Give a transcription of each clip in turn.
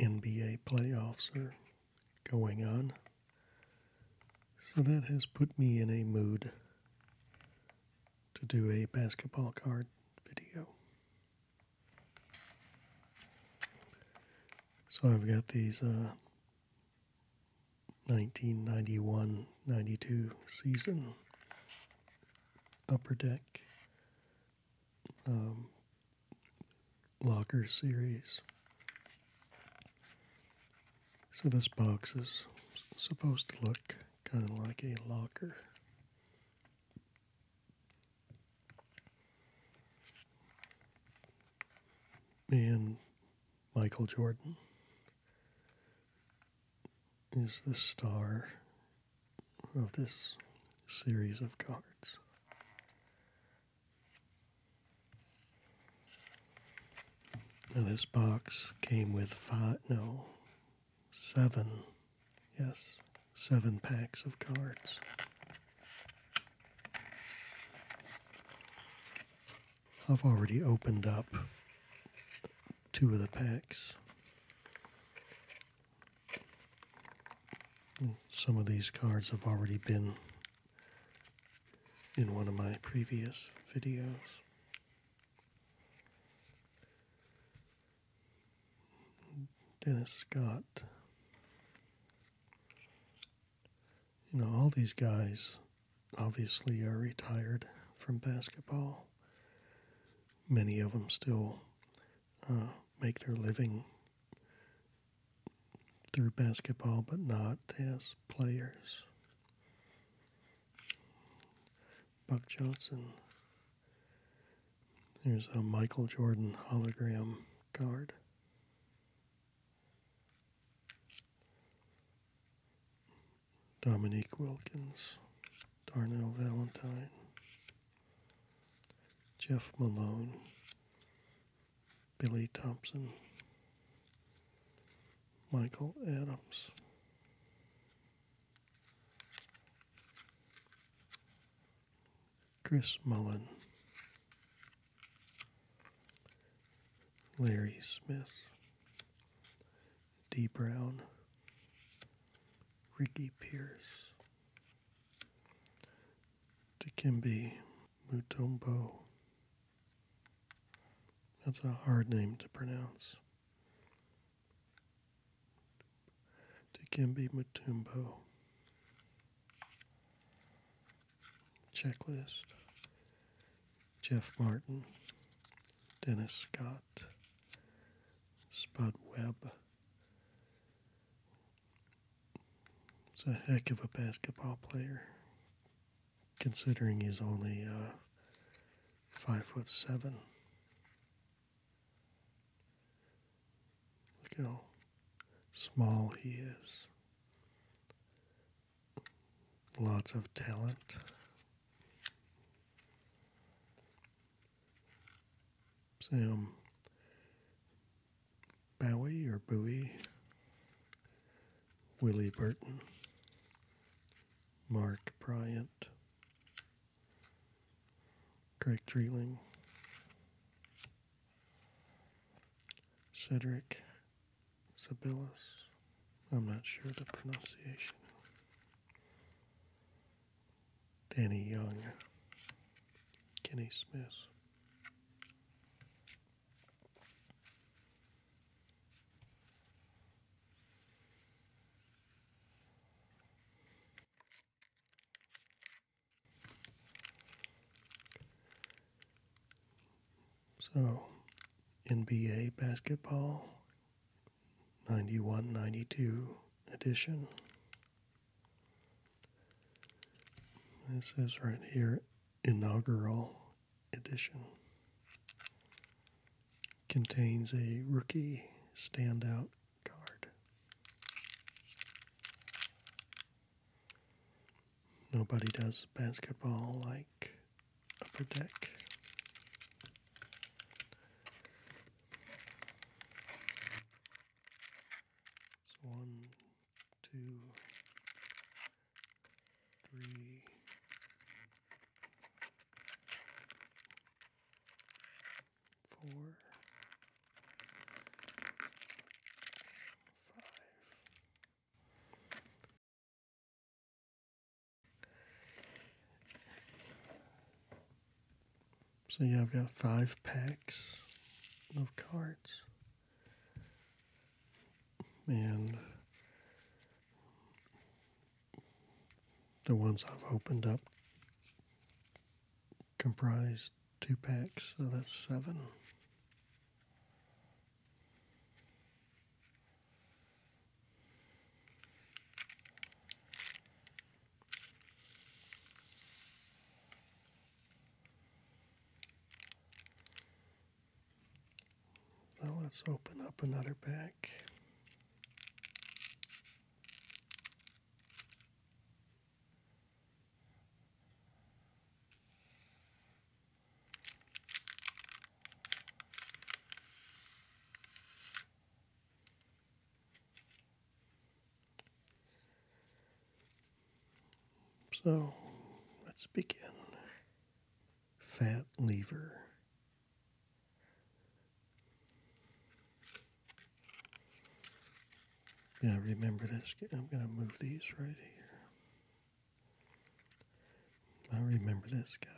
NBA playoffs are going on. So that has put me in a mood to do a basketball card video. So I've got these uh, 1991 92 season upper deck um, locker series. So this box is supposed to look kind of like a locker. And Michael Jordan is the star of this series of cards. Now this box came with five, no, seven, yes, seven packs of cards. I've already opened up two of the packs. Some of these cards have already been in one of my previous videos. Dennis Scott. You know, all these guys obviously are retired from basketball. Many of them still uh, make their living through basketball, but not as players. Buck Johnson. There's a Michael Jordan hologram card. Dominique Wilkins, Darnell Valentine, Jeff Malone, Billy Thompson, Michael Adams. Chris Mullen, Larry Smith, D. Brown, Ricky Pierce, Dikembe Mutombo. That's a hard name to pronounce. Dikembe Mutombo. Checklist. Jeff Martin. Dennis Scott. Spud Webb. It's a heck of a basketball player, considering he's only uh, five foot seven. Look how small he is. Lots of talent. Sam Bowie or Bowie, Willie Burton, Mark Bryant, Craig Treeling, Cedric Sibillus. I'm not sure the pronunciation. Danny Young, Kenny Smith. So, NBA basketball 91 92 edition. This is right here, inaugural edition. Contains a rookie standout card. Nobody does basketball like Upper Deck. So one, two, three, four, five. So yeah, I've got five packs of cards. And the ones I've opened up comprise two packs, so that's seven. Now let's open up another bag. So let's begin. Fat lever. Yeah, remember this. I'm going to move these right here. I remember this guy.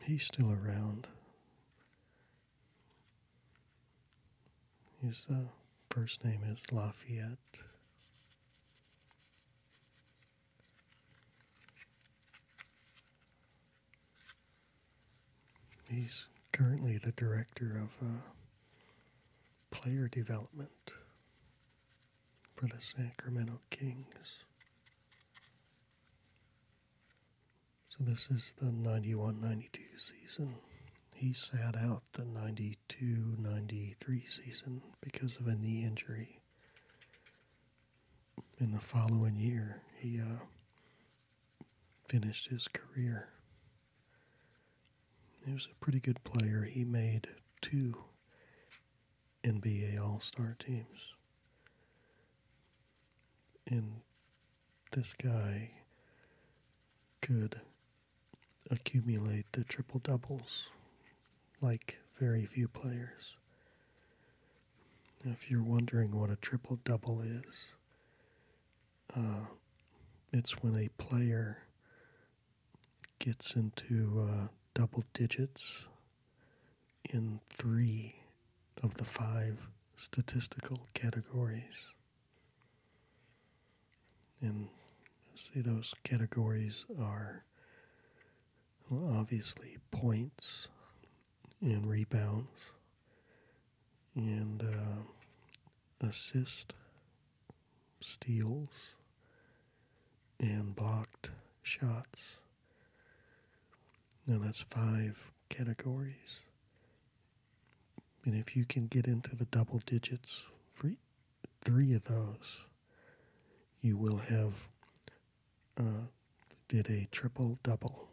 He's still around. His uh, first name is Lafayette. He's currently the director of uh, player development for the Sacramento Kings. So this is the 91-92 season. He sat out the 92-93 season because of a knee injury. In the following year, he uh, finished his career. He was a pretty good player. He made two NBA All Star teams. And this guy could accumulate the triple doubles like very few players. if you're wondering what a triple double is, uh, it's when a player gets into uh, double digits in three of the five statistical categories. And see, those categories are obviously points and rebounds and uh, assists steals and blocked shots. Now that's five categories. And if you can get into the double digits for three of those, you will have uh, did a triple double.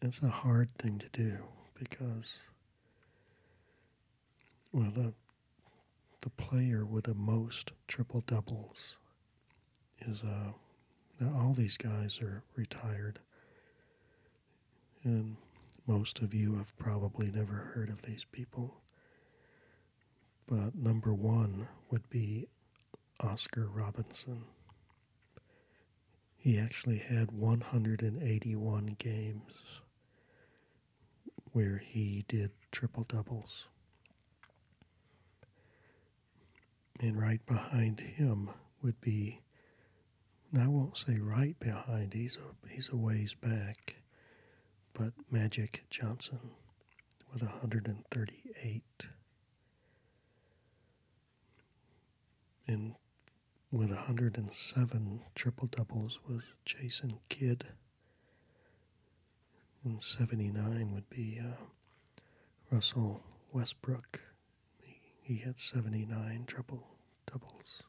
That's a hard thing to do because, well, the the player with the most triple doubles is uh, now all these guys are retired, and most of you have probably never heard of these people. But number one would be Oscar Robinson. He actually had 181 games where he did triple doubles. And right behind him would be, and I won't say right behind, he's a, he's a ways back, but Magic Johnson with 138. And with 107 triple doubles was Jason Kidd. And 79 would be uh, Russell Westbrook. He, he had 79 triple doubles.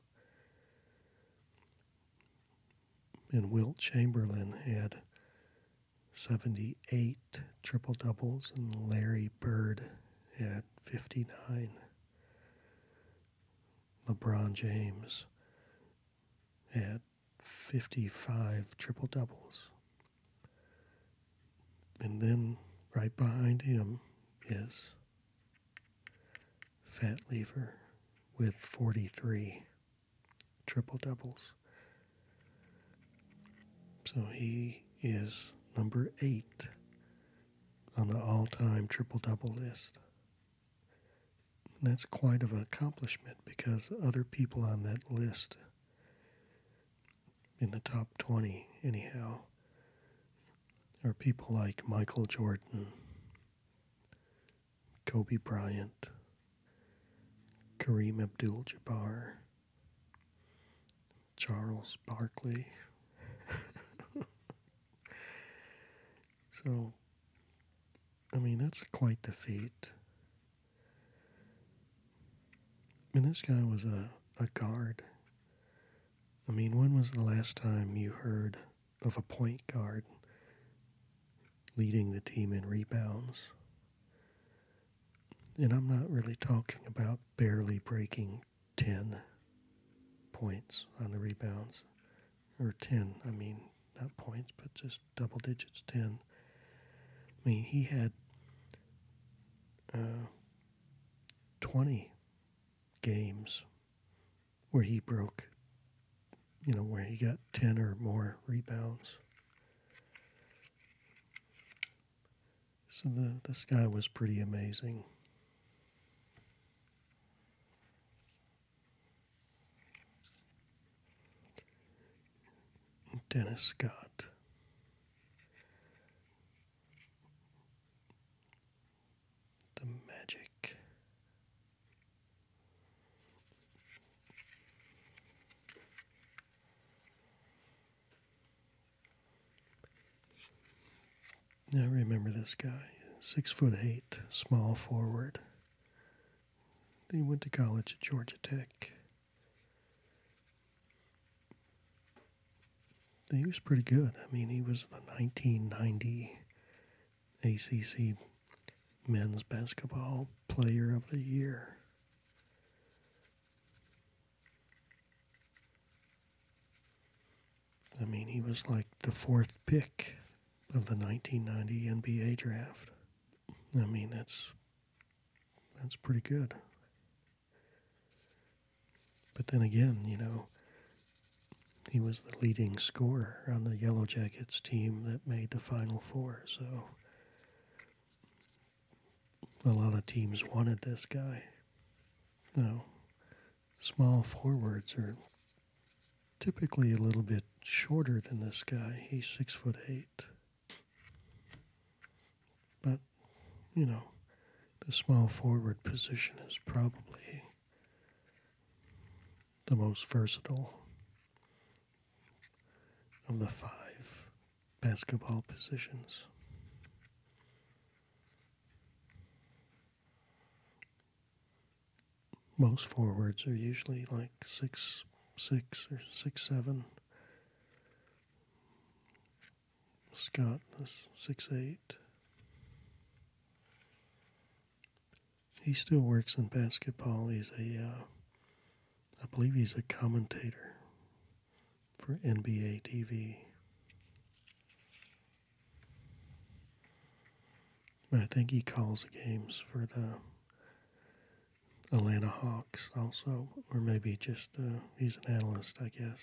And Wilt Chamberlain had 78 triple doubles, and Larry Bird had 59. LeBron James had 55 triple doubles. And then right behind him is Fat Lever with 43 triple doubles. So he is number eight on the all time triple double list that's quite of an accomplishment because other people on that list, in the top 20 anyhow, are people like Michael Jordan, Kobe Bryant, Kareem Abdul Jabbar, Charles Barkley. So, I mean, that's quite the feat. I mean this guy was a, a guard. I mean, when was the last time you heard of a point guard leading the team in rebounds? And I'm not really talking about barely breaking 10 points on the rebounds or 10, I mean, not points, but just double digits 10. I mean, he had uh, 20 games where he broke, you know, where he got 10 or more rebounds. So the, this guy was pretty amazing. Dennis Scott. The Magic. I remember this guy, six foot eight, small forward. He went to college at Georgia Tech. He was pretty good. I mean, he was the 1990 ACC Men's Basketball Player of the Year. I mean, he was like the fourth pick of the 1990 NBA draft. I mean, that's that's pretty good. But then again, you know, he was the leading scorer on the Yellow Jackets team that made the Final Four. So a lot of teams wanted this guy. No, small forwards are typically a little bit shorter than this guy. He's six foot eight. But, you know, the small forward position is probably the most versatile of the five basketball positions most forwards are usually like six six or six seven. Scott is six eight. He still works in basketball. He's a, uh, I believe he's a commentator for NBA TV. I think he calls the games for the Atlanta Hawks also, or maybe just he's an analyst, I guess.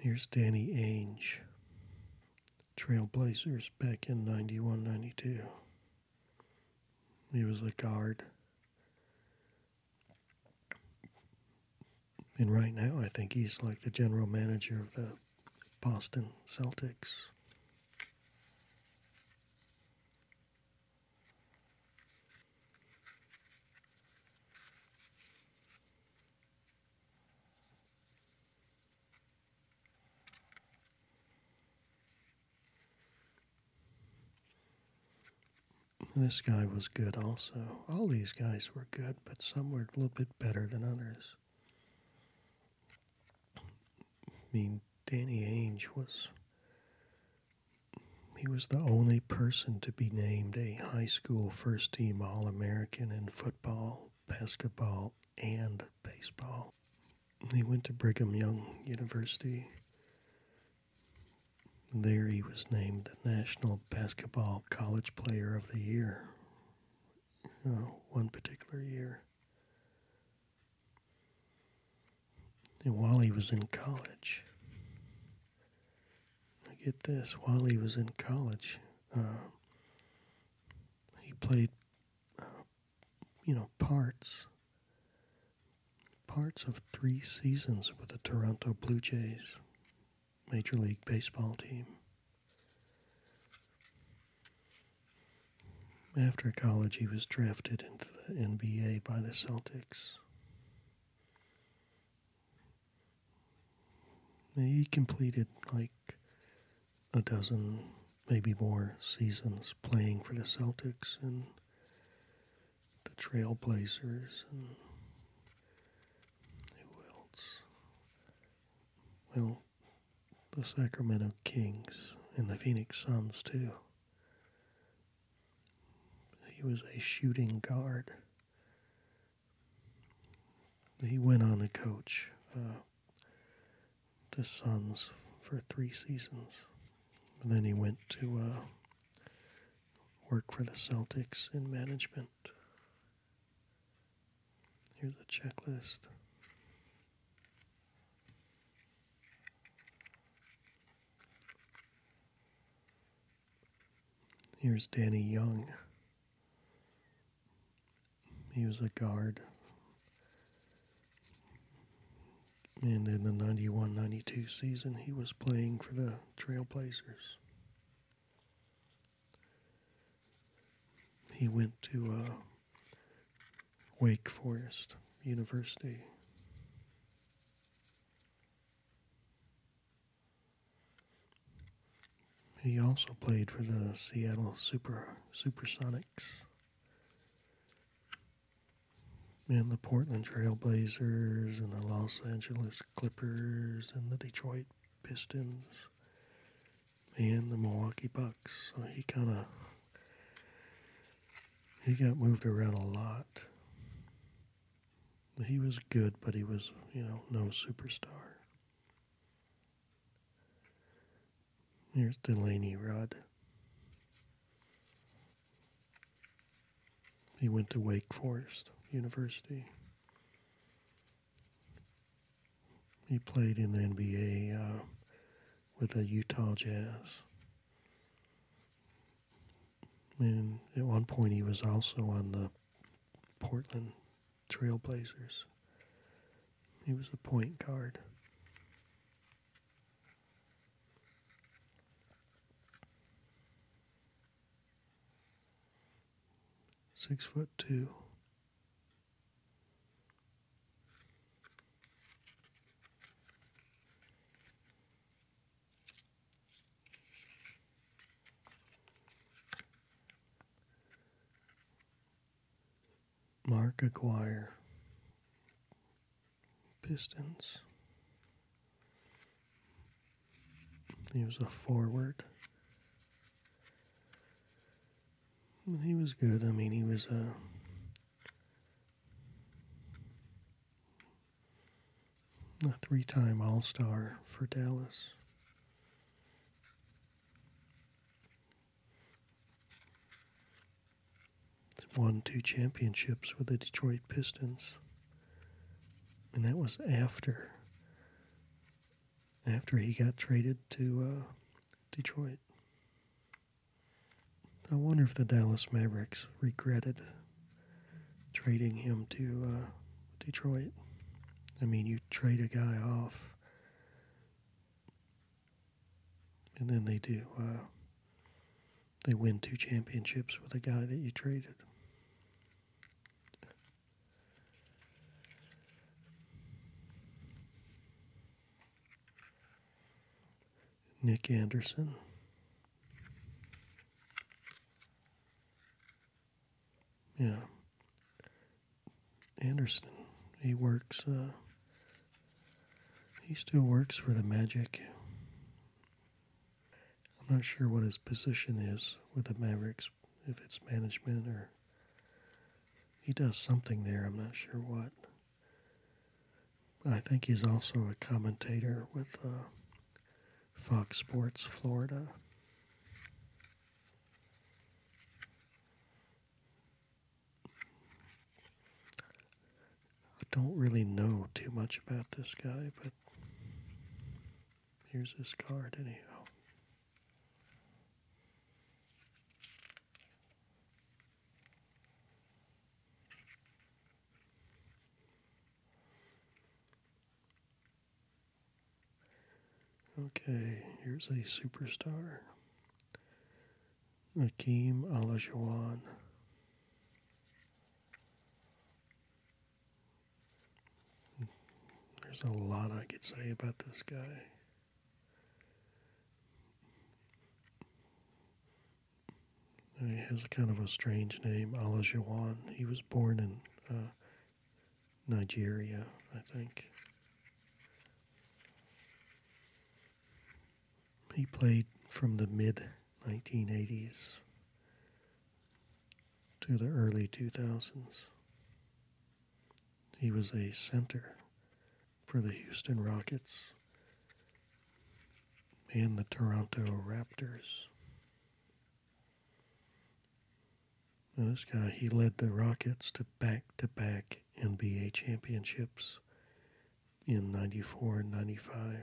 Here's Danny Ainge, Trailblazers back in 91 92. He was a guard. And right now, I think he's like the general manager of the Boston Celtics. This guy was good also. All these guys were good but some were a little bit better than others. I mean, Danny Ainge was he was the only person to be named a high school first team All American in football, basketball, and baseball. He went to Brigham Young University. There he was named National Basketball College Player of the Year, one particular year. And while he was in college, get this, while he was in college, uh, he played, uh, you know, parts, parts of three seasons with the Toronto Blue Jays. Major League Baseball team. After college, he was drafted into the NBA by the Celtics. He completed like a dozen, maybe more, seasons playing for the Celtics and the Trailblazers and who else? Well, the Sacramento Kings and the Phoenix Suns, too. He was a shooting guard. He went on to coach uh, the Suns for three seasons. then he went to uh, work for the Celtics in management. Here's a checklist. Here's Danny Young. He was a guard. And in the 91 92 season, he was playing for the Trailblazers. He went to uh, Wake Forest University. He also played for the Seattle Super Supersonics and the Portland Trailblazers and the Los Angeles Clippers and the Detroit Pistons and the Milwaukee Bucks. So he kind of he got moved around a lot. He was good, but he was, you know, no superstar. Here's Delaney Rudd. He went to Wake Forest University. He played in the NBA uh, with the Utah Jazz. And at one point, he was also on the Portland Trailblazers. He was a point guard six foot two. Mark Acquire Pistons. He was a forward. He was good. I mean, he was uh, a. a three time All Star for Dallas. Won two championships with the Detroit Pistons and that was after after he got traded to uh, Detroit. I wonder if the Dallas Mavericks regretted trading him to uh, Detroit. I mean, you trade a guy off, and then they do. Uh, they win two championships with a guy that you traded. Nick Anderson. Yeah. Anderson, he works, uh, he still works for the Magic. I'm not sure what his position is with the Mavericks, if it's management or he does something there. I'm not sure what. I think he's also a commentator with uh, Fox Sports Florida. I don't really know too much about this guy, but Here's his card, anyhow. Okay, here's a superstar. Akeem Olajuwon. There's a lot I could say about this guy. He has a kind of a strange name, Alajuwon. He was born in uh, Nigeria, I think. He played from the mid 1980s to the early 2000s. He was a center for the Houston Rockets and the Toronto Raptors. this guy, he led the Rockets to back to back NBA championships in 94 and 95.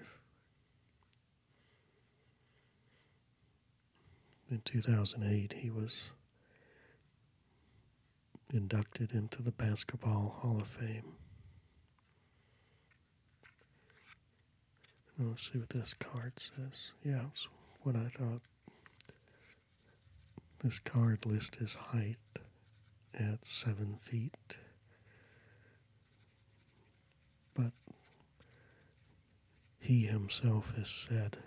In 2008, he was inducted into the Basketball Hall of Fame. let's see what this card says. Yeah, it's what I thought. This card lists his height at seven feet, but he himself has said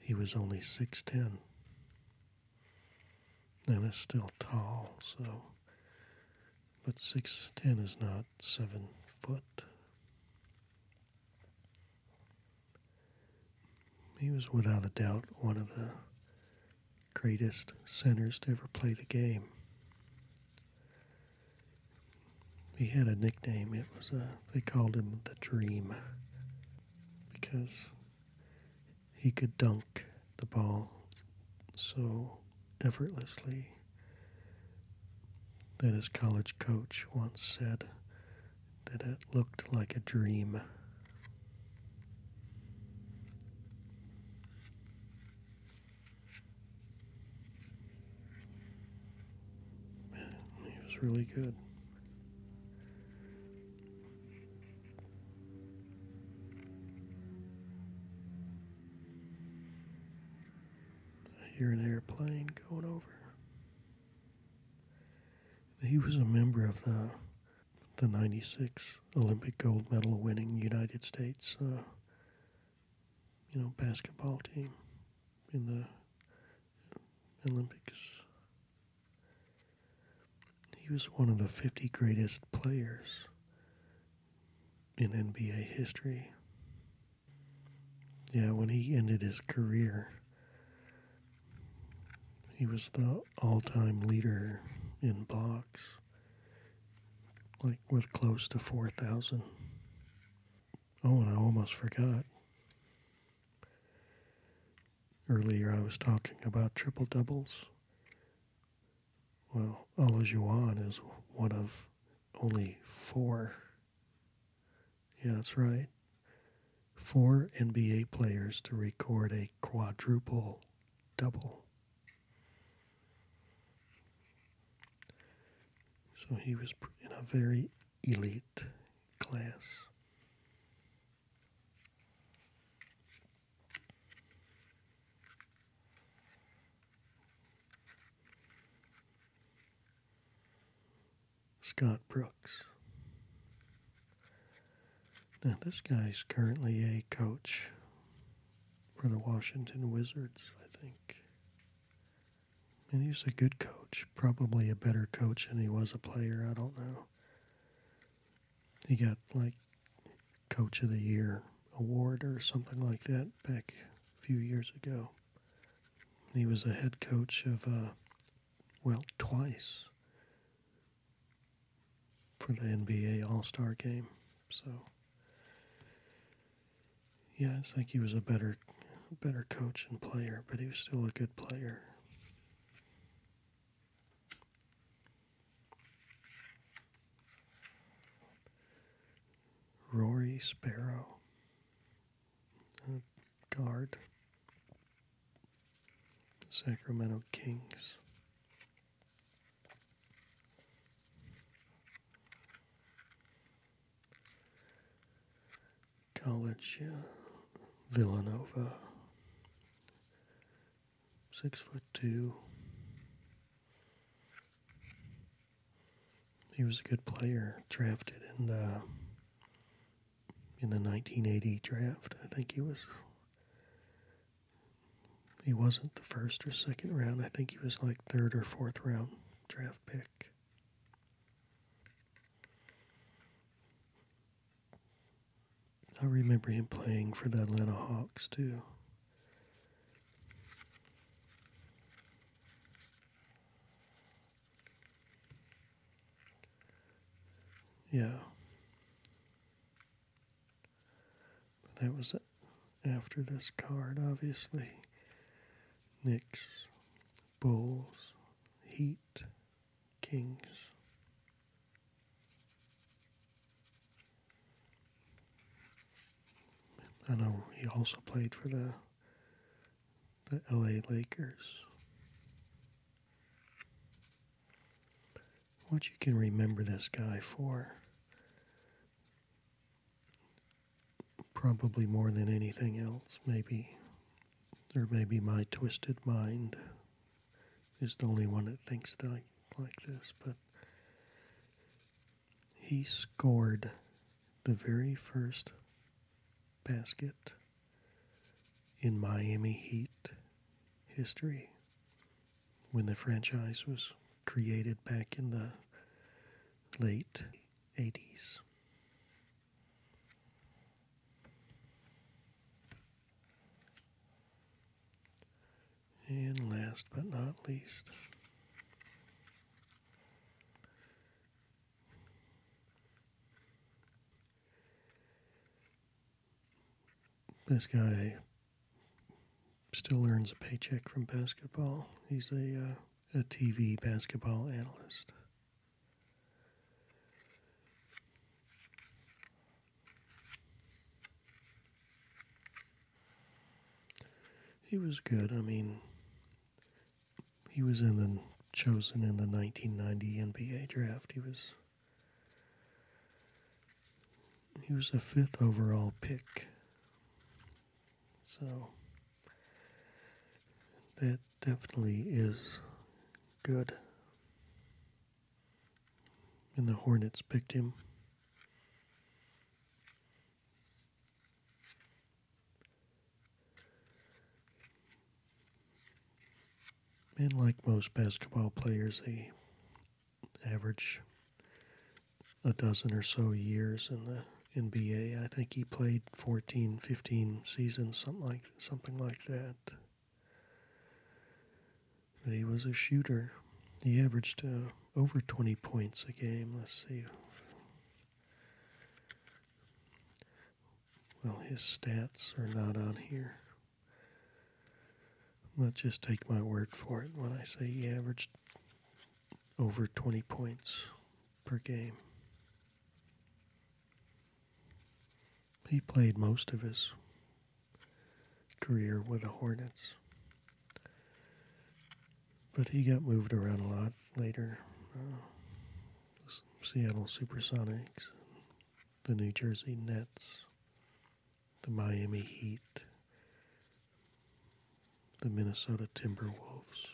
he was only 6'10. Now that's still tall, so, but 6'10 is not 7 foot. He was without a doubt one of the greatest centers to ever play the game. He had a nickname. It was a, uh, they called him the Dream because he could dunk the ball so effortlessly that his college coach once said that it looked like a dream he was really good. I hear an airplane going over. He was a member of the the 96 Olympic gold medal winning United States uh, you know, basketball team in the Olympics. He was one of the 50 greatest players in NBA history. Yeah, when he ended his career, he was the all time leader in blocks, like with close to 4,000. Oh, and I almost forgot. Earlier I was talking about triple doubles. Well, Olajuwon is one of only four. Yeah, that's right. Four NBA players to record a quadruple double. So he was in a very elite class. Scott Brooks. Now, this guy's currently a coach for the Washington Wizards, I think. And he's a good coach, probably a better coach than he was a player. I don't know. He got like Coach of the Year award or something like that back a few years ago. He was a head coach of, uh, well, twice for the NBA All Star game. So. Yeah, I think he was a better better coach and player, but he was still a good player. Rory Sparrow, guard, Sacramento Kings. College, uh, Villanova, six foot two. He was a good player, drafted in the, uh, in the 1980 draft. I think he was. He wasn't the first or second round. I think he was like third or fourth round draft pick. I remember him playing for the Atlanta Hawks too. Yeah that was after this card, obviously. Knicks, Bulls, Heat, Kings. I know he also played for the the LA Lakers. What you can remember this guy for probably more than anything else, maybe. Or maybe my twisted mind is the only one that thinks that I, like this, but he scored the very first basket in Miami Heat history when the franchise was created back in the late 80s. And last but not least, this guy Still earns a paycheck from basketball. He's a, uh, a TV basketball analyst. He was good. I mean, he was in the chosen in the 1990 NBA draft. He was he was a fifth overall pick so that definitely is good. And the Hornets picked him. And like most basketball players, they average a dozen or so years in the NBA. I think he played 14, 15 seasons, something like something like that. But he was a shooter. He averaged uh, over 20 points a game. Let's see. Well, his stats are not on here. But just take my word for it when I say he averaged over 20 points per game. He played most of his career with the Hornets, but he got moved around a lot later. Uh, Seattle Supersonics, the New Jersey Nets, the Miami Heat, the Minnesota Timberwolves,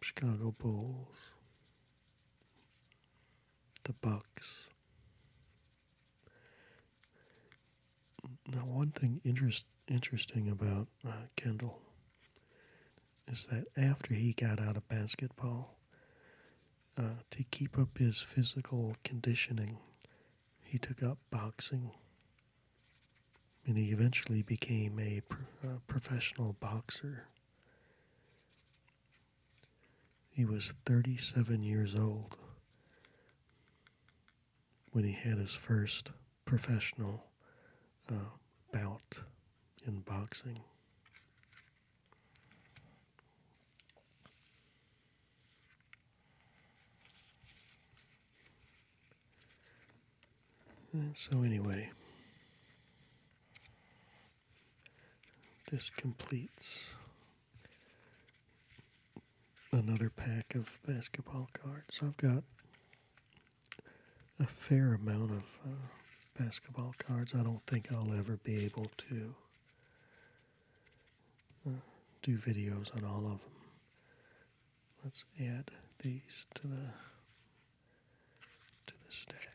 Chicago Bulls, the Bucks. Now, one thing interest, interesting about uh, Kendall is that after he got out of basketball, uh, to keep up his physical conditioning, he took up boxing and he eventually became a uh, professional boxer. He was 37 years old when he had his first professional uh, bout in boxing. Uh, so, anyway, this completes another pack of basketball cards. I've got a fair amount of uh, basketball cards. I don't think I'll ever be able to do videos on all of them. Let's add these to the to the stack.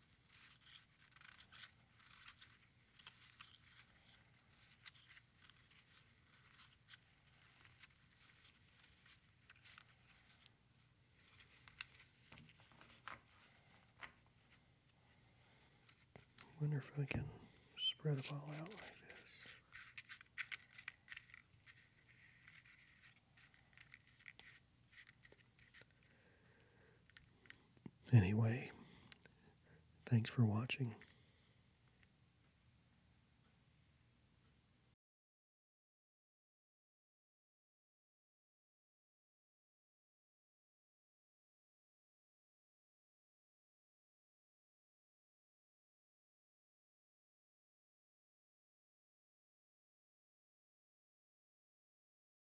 wonder if I can spread them all out like this. Anyway, thanks for watching.